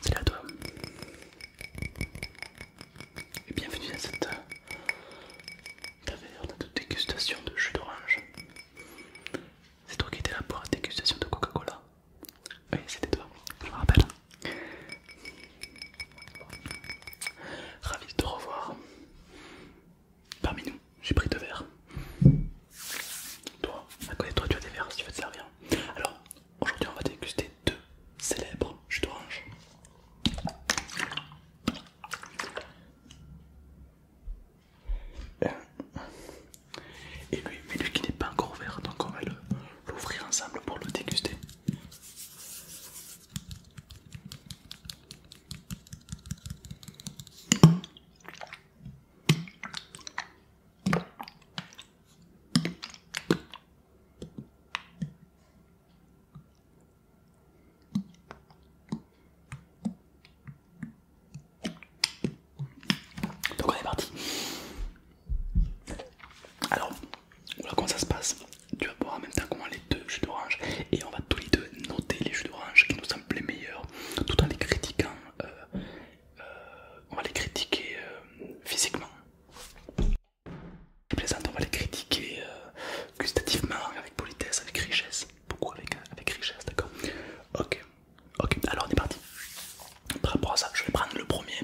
C'est à toi et bienvenue dans cette euh, taverne de dégustation de jus d'orange. C'est toi qui étais là pour la dégustation de Coca-Cola Oui, c'était toi, je me rappelle. Ravi de te revoir. Parmi nous, j'ai pris deux verres. Toi, à côté toi, tu as des verres si tu veux te servir. Alors, aujourd'hui, on va déguster deux célèbres jus d'orange. Et lui, mais lui qui n'est pas encore ouvert, donc on va l'ouvrir ensemble pour le déguster. Donc on est parti. Alors, voilà comment ça se passe. Tu vas boire en même temps comment les deux jus d'orange et on va tous les deux noter les jus d'orange qui nous semblent les meilleurs tout en les critiquant euh, euh, on va les critiquer euh, physiquement. on va les critiquer euh, gustativement, avec politesse, avec richesse. Beaucoup avec, richesse, d'accord Ok, ok, alors on est parti. Par rapport à ça, je vais prendre le premier.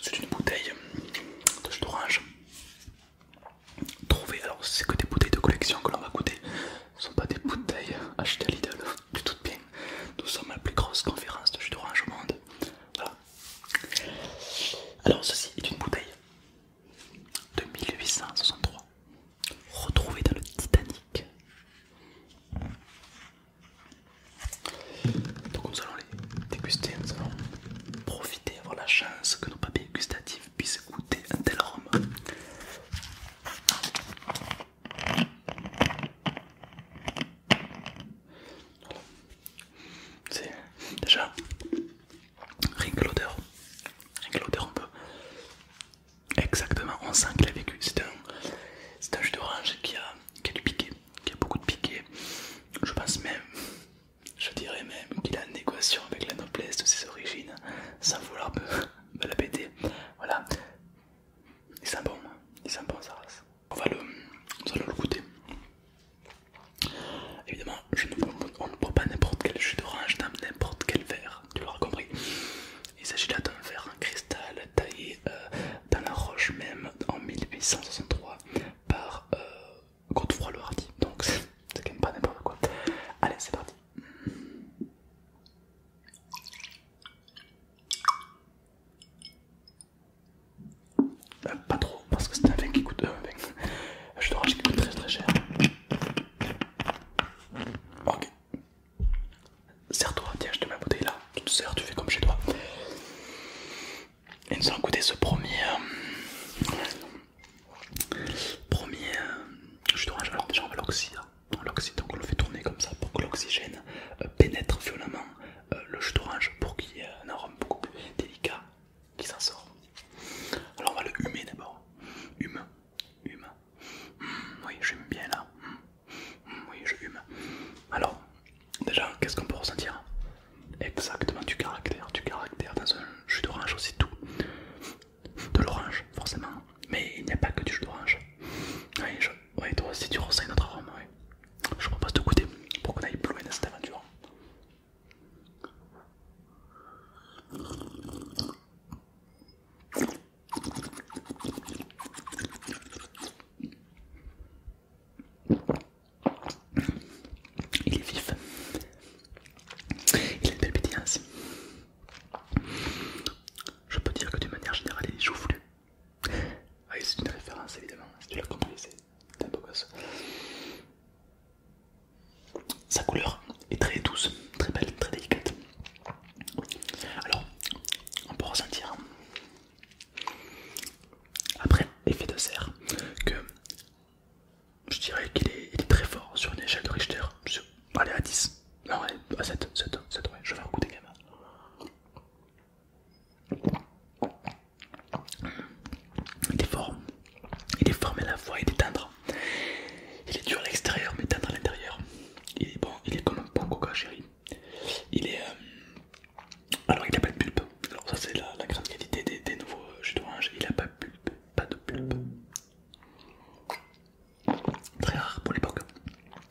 C'est une bouteille de jus d'orange trouver. Alors, c'est que des bouteilles de collection que l'on va goûter, ce ne sont pas des bouteilles achetées à Lidl, du tout bien. Nous sommes la plus grosse conférence de jus d'orange au monde. Voilà. Alors, ceci est une bouteille de 1863, retrouvée dans le Titanic. Donc nous allons les déguster, nous allons profiter, avoir la chance que nos papiers gustatifs puisse goûter un tel arôme. C'est déjà rien que l'odeur, rien que l'odeur on peut exactement on sent qu'il a vécu. C'est un, un jus d'orange qui a, qui a du piqué, qui a beaucoup de piqué. Je pense même je dirais même qu'il a une équation avec la noblesse de ses origines, sans vouloir me, la péter. Voilà. Il sent bon, il sent bon sa race. On va le, goûter. Évidemment, ne, on ne boit pas n'importe quel jus d'orange dans n'importe quel verre, tu l'auras compris. Il s'agit là d'un verre en cristal taillé euh, dans la roche même en 1863 par euh, quand froid le hardi, donc c'est quand même pas n'importe quoi. Allez, c'est parti. Euh, pas trop, parce que c'est un vin qui coûte. Euh, un vin. Je te racheter qui coûte très très cher. Ok. Serre-toi, tiens, je te mets ma bouteille là. Tu te sers, tu fais comme chez toi. Et nous allons goûter ce premier. Euh, Premier chute jus d'orange, alors déjà on hein. va l'oxyde donc on le fait tourner comme ça pour que l'oxygène euh, pénètre violemment euh, le jus d'orange pour qu'il y ait un arôme beaucoup plus délicat qui s'en sort. Alors on va le humer d'abord, hume, hume, hmm, oui j'aime bien là, hmm, hmm, oui je hume. Alors déjà qu'est-ce qu'on peut ressentir Exactement du caractère, du caractère dans un jus d'orange aussi tout de l'orange, forcément. Mais il n'y a pas que du jus d'orange. Oui, toi aussi tu ressens notre arôme. Ouais. Je propose de goûter pour qu'on aille plus loin dans cette aventure. Il est vif, il a une belle pétillance. Je peux dire que d'une manière générale, il est joufflu. Ah, c'est une référence évidemment, si tu l'as compris, c'est un beau gosse. Sa couleur est très douce, très belle, très délicate. Alors, on peut ressentir après effet de serre que je dirais qu'il est, très fort sur une échelle de Richter. allez, à 10. Non, à 7, 7, 7, je vais recouper quand même. Il est fort. Il est fort, mais à la fois, il est tendre. Il est dur à l'extérieur, mais tendre à l'intérieur. Il est bon, il est comme un bon coca chérie. Il est. Euh, alors, il n'a pas de pulpe. Alors, ça, c'est la, grande qualité des, nouveaux jus euh, d'orange. Hein. Il n'a pas Pas de pulpe. Très rare pour l'époque.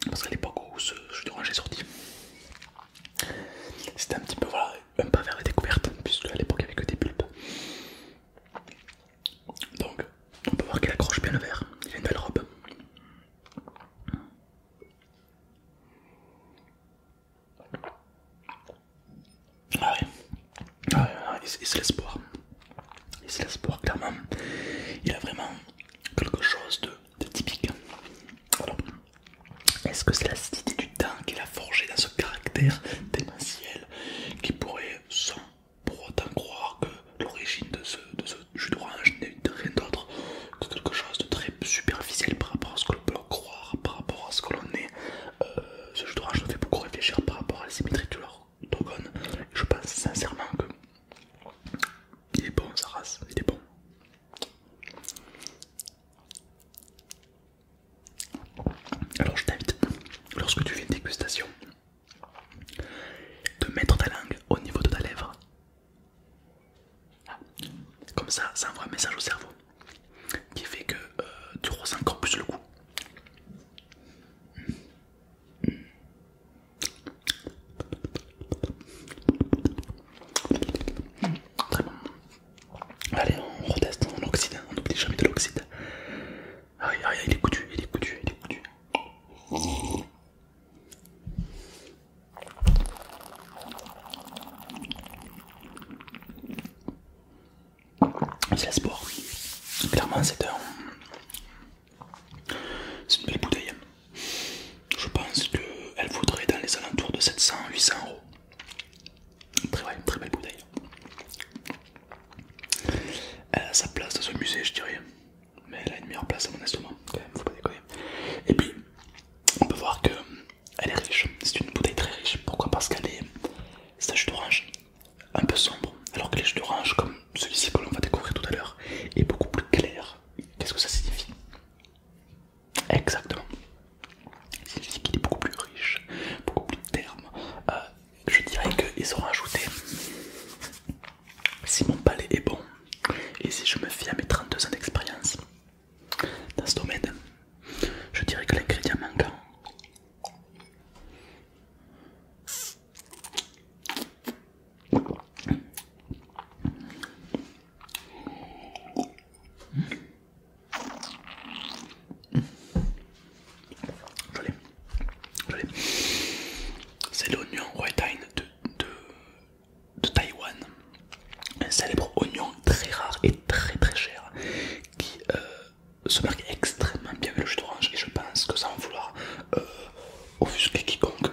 Parce qu'à l'époque où ce jeu rang est sorti, c'était un petit peu voilà, un pas vers la découverte, puisque à l'époque il n'y avait que des pulpes. Donc on peut voir qu'il accroche bien le verre, il a une belle robe. Ah ouais. c'est l'espoir. c'est l'espoir, clairement. Il a vraiment quelque chose de, typique. Est-ce que c'est la l'acidité du temps qu'il a forgé dans ce caractère démentiel qui pourrait, sans pour autant croire que l'origine de ce, de ce jus d'orange n'est rien d'autre que quelque chose de très superficiel par rapport à ce que l'on peut croire, par rapport à ce que l'on est, ce euh, jeu d'orange me fait beaucoup réfléchir par rapport à la symétrie de leur Je pense sincèrement que il est bon sa race, il est bon. Alors je t'invite, lorsque tu fais une dégustation, de mettre ta langue au niveau de ta lèvre. Comme ça, ça envoie un message au cerveau qui fait que tu ressens encore plus le coup très bon. Allez, on reteste, on oxyde, on n'oublie jamais de l'oxyde. Ah, ah, il est coutu, il est coutu, il est coutu. C'est la sport. Clairement, c'est une belle bouteille. Je pense qu'elle vaudrait dans les alentours de 700-800 euros. Très, très belle bouteille. Elle a sa place dans ce musée, je dirais. Mais elle a une meilleure place à mon estomac, faut pas déconner. Et puis, on peut voir qu'elle est riche. C'est une bouteille très riche. Pourquoi Parce qu'elle est. Stage d'orange, un peu sombre, alors que les jus d'orange, comme celui-ci que l'on va découvrir tout à l'heure, est beaucoup plus clair. Qu'est-ce que ça signifie Exactement. Ça signifie qu'il est beaucoup plus riche, beaucoup plus terme. Euh, je dirais qu'ils ont rajouté, si mon palais est bon, et si je me fie à mes 32 ans d'expérience dans ce domaine, je dirais que l'ingrédient manquant c'est l'oignon Whitehine de, de, Taïwan, un célèbre oignon très rare et très très cher qui euh, se euh, marque extrêmement bien avec le jus d'orange et je pense que ça sans vouloir euh, offusquer quiconque,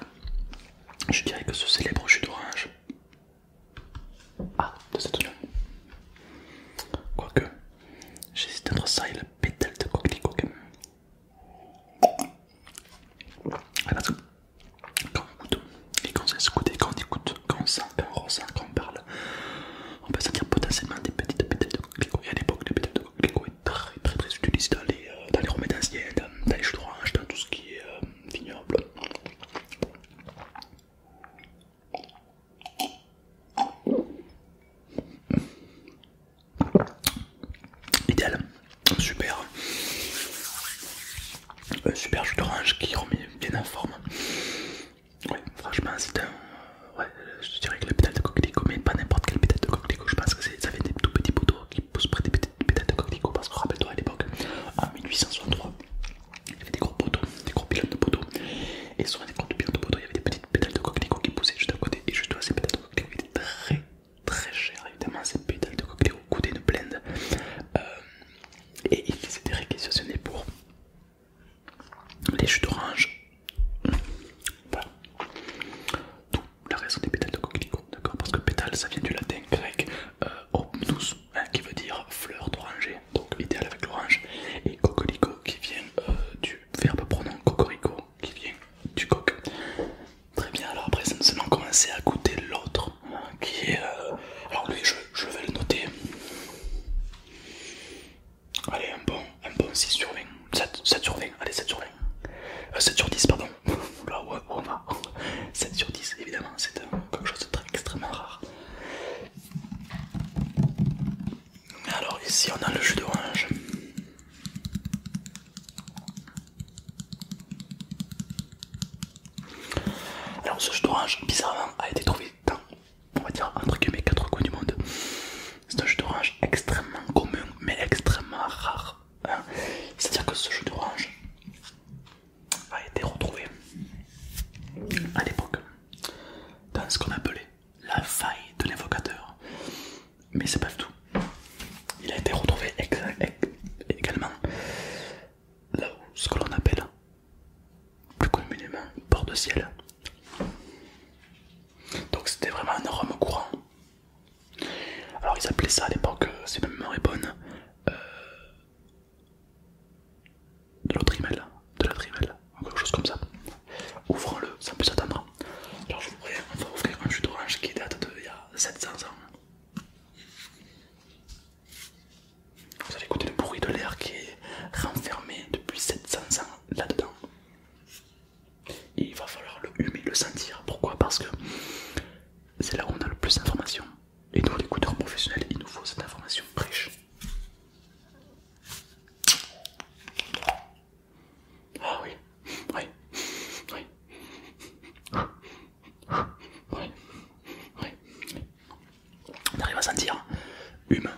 je dirais que ce célèbre jus d'orange ah, de cette oignon. Quoique, j'hésite entre ça et le pétale de coquelicot quand même. Ah, parce quand on goûte et qu'on sait se quand on écoute, quand sent, quand ressent, qu'on parle, on peut sentir potentiellement des petites pétales de coquelicot. Et à l'époque, des pétales de coquelicot est très très très utilisées dans les, euh, dans les remèdes anciens, euh, dans, les jus d'orange, dans tout ce qui est euh, vignoble. Idéal, super, un super jus d'orange qui remet bien en forme. Ouais, franchement, c'est un. Euh, ouais, euh, je dirais que la pétale de coquelicot, mais pas n'importe quelle pétale de coquelicot. Je pense que ça fait des tout petits poteaux qui poussent près des pétales de coquelicot. Parce que rappelle-toi à l'époque, en 1863, il y avait des gros poteaux, des gros pilotes de poteaux. Et sur les gros pilotes de poteaux, il y avait des petites pétales de coquelicot qui poussaient juste à côté. Et juste là, ces pétales de coquelicot étaient très très chères. Évidemment, ces pétales de coquelicot coûtaient une blinde. Euh, et ils étaient réquisitionnés pour les jus d'orange, voilà. Tout la raison des pétales de coquelicot, d'accord Parce que pétale ça vient du latin grec euh, hein, qui veut dire fleur d'oranger, donc idéal avec l'orange, et coquelicot qui vient euh, du verbe pronom cocorico, qui vient du coq. Très bien, alors après, nous allons commencer à goûter l'autre, hein, qui est. Euh, alors lui, je vais le noter. Allez, un bon, 6 sur 20, 7, sur 20, allez 7 sur 20, 7 euh, sur 10 pardon, là où, on va, 7 sur 10 évidemment, c'est euh, quelque chose de très extrêmement rare. Alors ici on a le jus d'orange. Alors ce jus d'orange bizarrement a été trouvé dans on va dire entre guillemets quatre coins du monde. C'est un jeu d'orange extrêmement commun mais extrêmement rare. Hein. C'est-à-dire que ce jeu d'orange a été retrouvé à l'époque dans ce qu'on appelait la faille de l'invocateur Mais c'est pas tout. Il a été retrouvé e-, également là où ce que l'on appelle plus communément bord de ciel. Donc c'était vraiment un rhum courant. Alors ils appelaient ça à l'époque, c'est euh, même mémoire euh, de l'autre trimel, de la trimel, ou quelque chose comme ça. Ouvrons-le sans plus attendre. Alors je voudrais, on va ouvrir un jus d'orange qui date d'il y a 700 ans. Vous allez écouter le bruit de l'air qui est renfermé depuis 700 ans là-dedans. il va falloir le humer, le sentir. Pourquoi Parce que c'est là où on a le plus d'informations. Et nous, l'écouteur professionnel, il nous faut cette information prêche. Ah oui, oui, oui. Oui, oui, oui on arrive à sentir humain,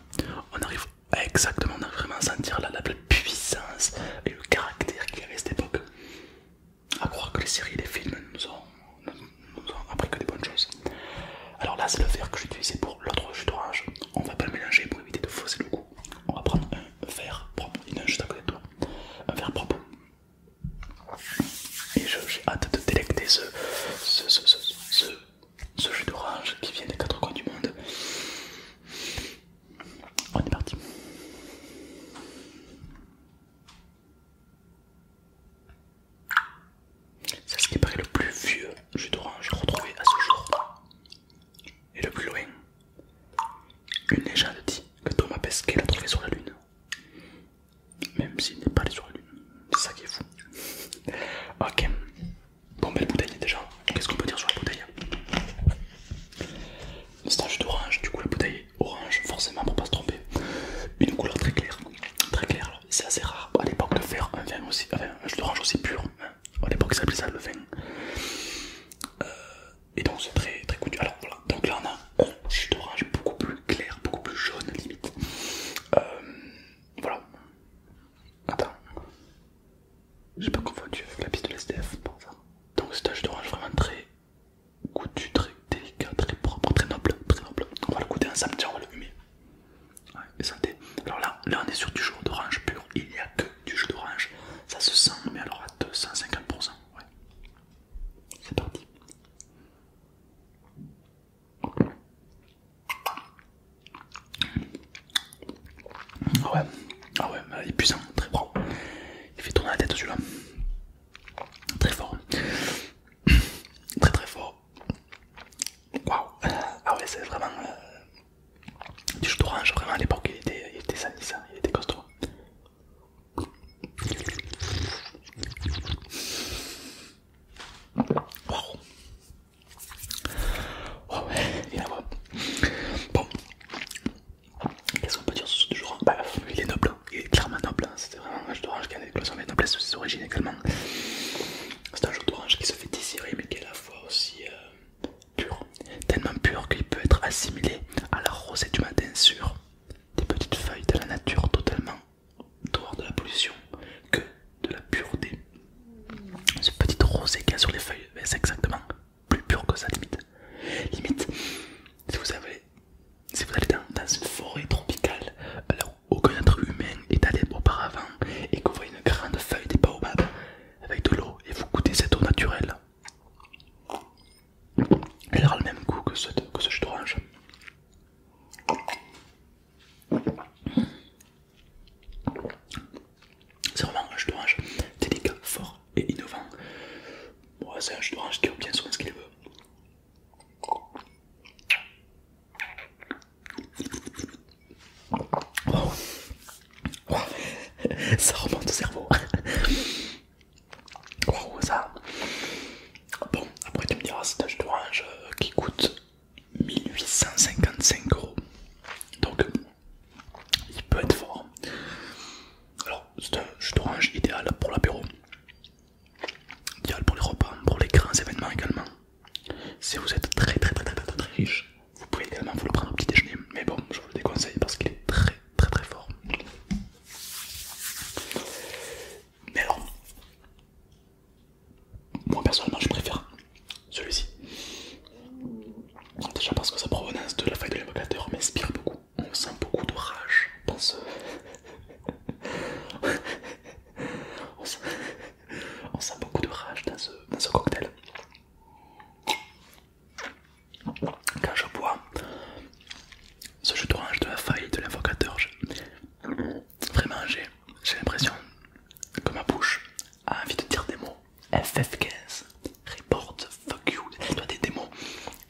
on arrive exactement, on arrive vraiment à sentir la, puissance et le caractère qu'il y avait à cette époque. À croire que les séries et les films nous ont, appris que des bonnes choses. Alors là, c'est le verre que utilisé pour l'autre jus d'orange. On va pas le mélanger pour éviter de fausser le goût. On va prendre un verre propre, il juste à côté de toi. Un verre propre. Et j'ai hâte de délecter ce, ce jus d'orange qui vient des quatre coins du monde. On est parti. C'est ce qui paraît le plus vieux jus d'orange retrouvé à ce jour. Et le plus loin, une légende dit que Thomas Pesquet l'a trouvé sur la Lune. Même s'il n'est pas allé sur la Lune. C'est ça qui est fou. Ok. Bon, belle bouteille déjà. Qu'est-ce qu'on peut dire sur la bouteille C'est un jus d'orange, du coup la bouteille orange, forcément pour pas se tromper. Une couleur très claire. Très claire, c'est assez rare à l'époque de faire un vin aussi, enfin, un jus d'orange aussi pur. Hein. À l'époque, ça s'appelait ça le vin. Euh, et donc c'est très très connu. Alors voilà, donc là on a un jus d'orange beaucoup plus clair, beaucoup plus jaune limite. Euh, voilà. Attends. J'ai pas confondu avec la piste de l'SDF pour ça. Donc c'est un jus d'orange vraiment très goûtu, très délicat, très propre, très noble, très noble. On va le goûter ensemble, samedi, on va le humer. Ouais, et santé. Alors là, là on est sur du jus d'orange pur, il n'y a que du jus d'orange. Ça se sent, mais alors à 250%. Ouais. C'est parti. Ah ouais, ah ouais, il est puissant, très fort. Il fait tourner la tête celui-là. Très fort. Très très fort. Waouh. Ah ouais, c'est vraiment... Euh, du jus d'orange, vraiment à l'époque, il était, il était il était costaud. Waouh. Oh, a la voix. Bon, qu'est-ce qu'on peut dire sur ce jeu il est noble, hein. il est clairement noble. C'est hein. C'était vraiment un jeu d'orange qui a une éclosion avec noblesse sous ses origines également. C'est un jeu d'orange qui se fait désirer, mais qui est à la fois aussi euh, pur, tellement pur qu'il peut être assimilé à la rosée du matin sur des petites feuilles de la nature totalement dehors de la pollution que de la pureté. Ce petit rosé qu'il y a sur les feuilles, c'est exactement plus pur que ça limite. Limite, si vous, avez, si vous allez dans, une forêt tropicale, alors aucun être humain est allé auparavant, et que vous voyez une grande feuille des baobab avec de l'eau, et vous goûtez cette eau naturelle, elle aura le même goût que ce, que orange. C'est vraiment un jus d'orange délicat, fort et innovant. c'est un jus d'orange qui obtient souvent ce qu'il veut. ça remonte au cerveau. Wow, ça. Bon, après tu me diras, c'est un jus d'orange euh, qui coûte 1855 euros. Donc il peut être fort. Alors c'est un jus d'orange idéal pour l'apéro, idéal pour les repas, pour les grands événements également. Si vous êtes très très très très très, très riche, vous pouvez également vous le prendre au petit déjeuner. Mais bon, je vous le déconseille parce qu'il est très très très fort. Mais alors, moi personnellement, je préfère celui-ci. Déjà parce que sa provenance de la faille de l'invocateur m'inspire beaucoup. On sent beaucoup de rage dans ce. on, sent... beaucoup de rage dans ce, dans ce cocktail. Quand je bois ce jus d'orange de la faille de l'invocateur, Vraiment, j'ai l'impression que ma bouche a envie de dire des mots FF15, report, fuck you, toi des, des mots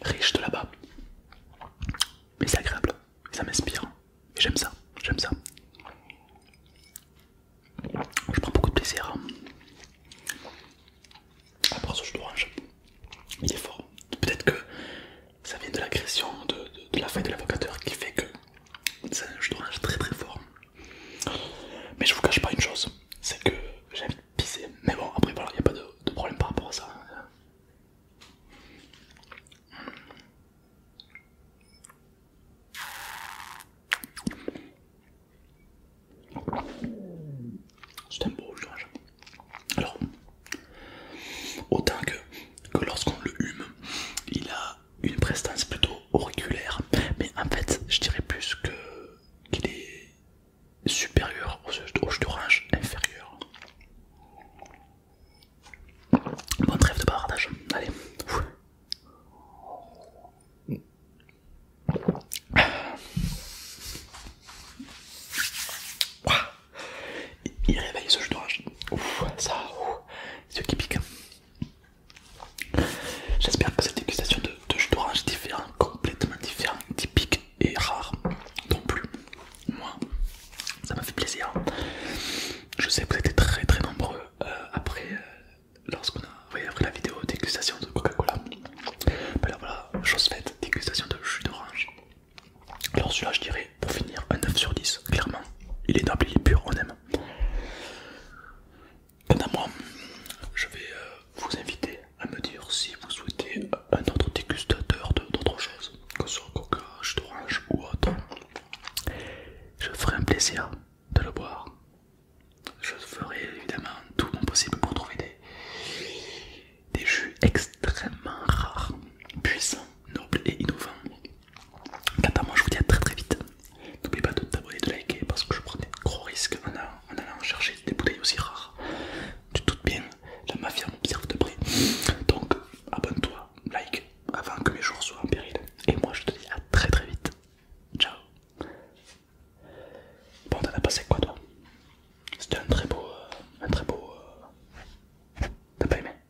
riches de là-bas. Mais c'est agréable, ça m'inspire, et j'aime ça, j'aime ça. Je prends beaucoup de plaisir. Hein. Après ah, ce jus d'orange, il est fort. Peut-être que ça vient de l'agression de, la feuille de l'avocateur qui fait que je un jeu très très fort. Mais je vous cache pas une chose, c'est que j'ai envie de pisser. Mais bon, après voilà, il n'y a pas de, problème par rapport à ça. C'est un beau jeu. Alors, autant que que lorsqu'on le hume, il a une prestance plutôt auriculaire, mais en fait, je dirais plus que qu'il est supérieur au jus d'orange inférieur. Bon trêve de bavardage, allez. Il réveille ce jus d'orange. Ouf, ça, c'est qui pique. J'espère que cette dégustation de, jus d'orange différent, complètement différent, typique et rare non plus. Moi, ça m'a fait plaisir. Je sais que vous étiez très très nombreux euh, après, euh, lorsqu'on a, la vidéo dégustation de Coca-Cola. Mais là voilà, chose faite, dégustation de jus d'orange. Alors celui-là je dirais pour finir un 9 sur 10, clairement. Il est noble, il est pur, on aime. Quant à moi, je vais euh, vous inviter à me dire si vous souhaitez un autre dégustateur d'autres choses, que ce soit coca, jus d'orange ou autre. Je ferai un plaisir de le boire. Je ferai évidemment tout mon possible pour trouver des, des jus extrêmement rares, puissants, nobles et innovants. Quant à moi, je vous dis à très très vite. N'oublie pas de t'abonner, de liker parce que je prends des gros risques en, allant, chercher des bouteilles aussi rares. Tu doutes bien, la mafia m'observe de près. Donc abonne-toi, like avant que mes jours soient en péril. Et moi, je te dis à très très vite. Ciao. Bon, t'en as passé quoi toi C'était un très beau. Euh, un très beau. Euh, t'as pas aimé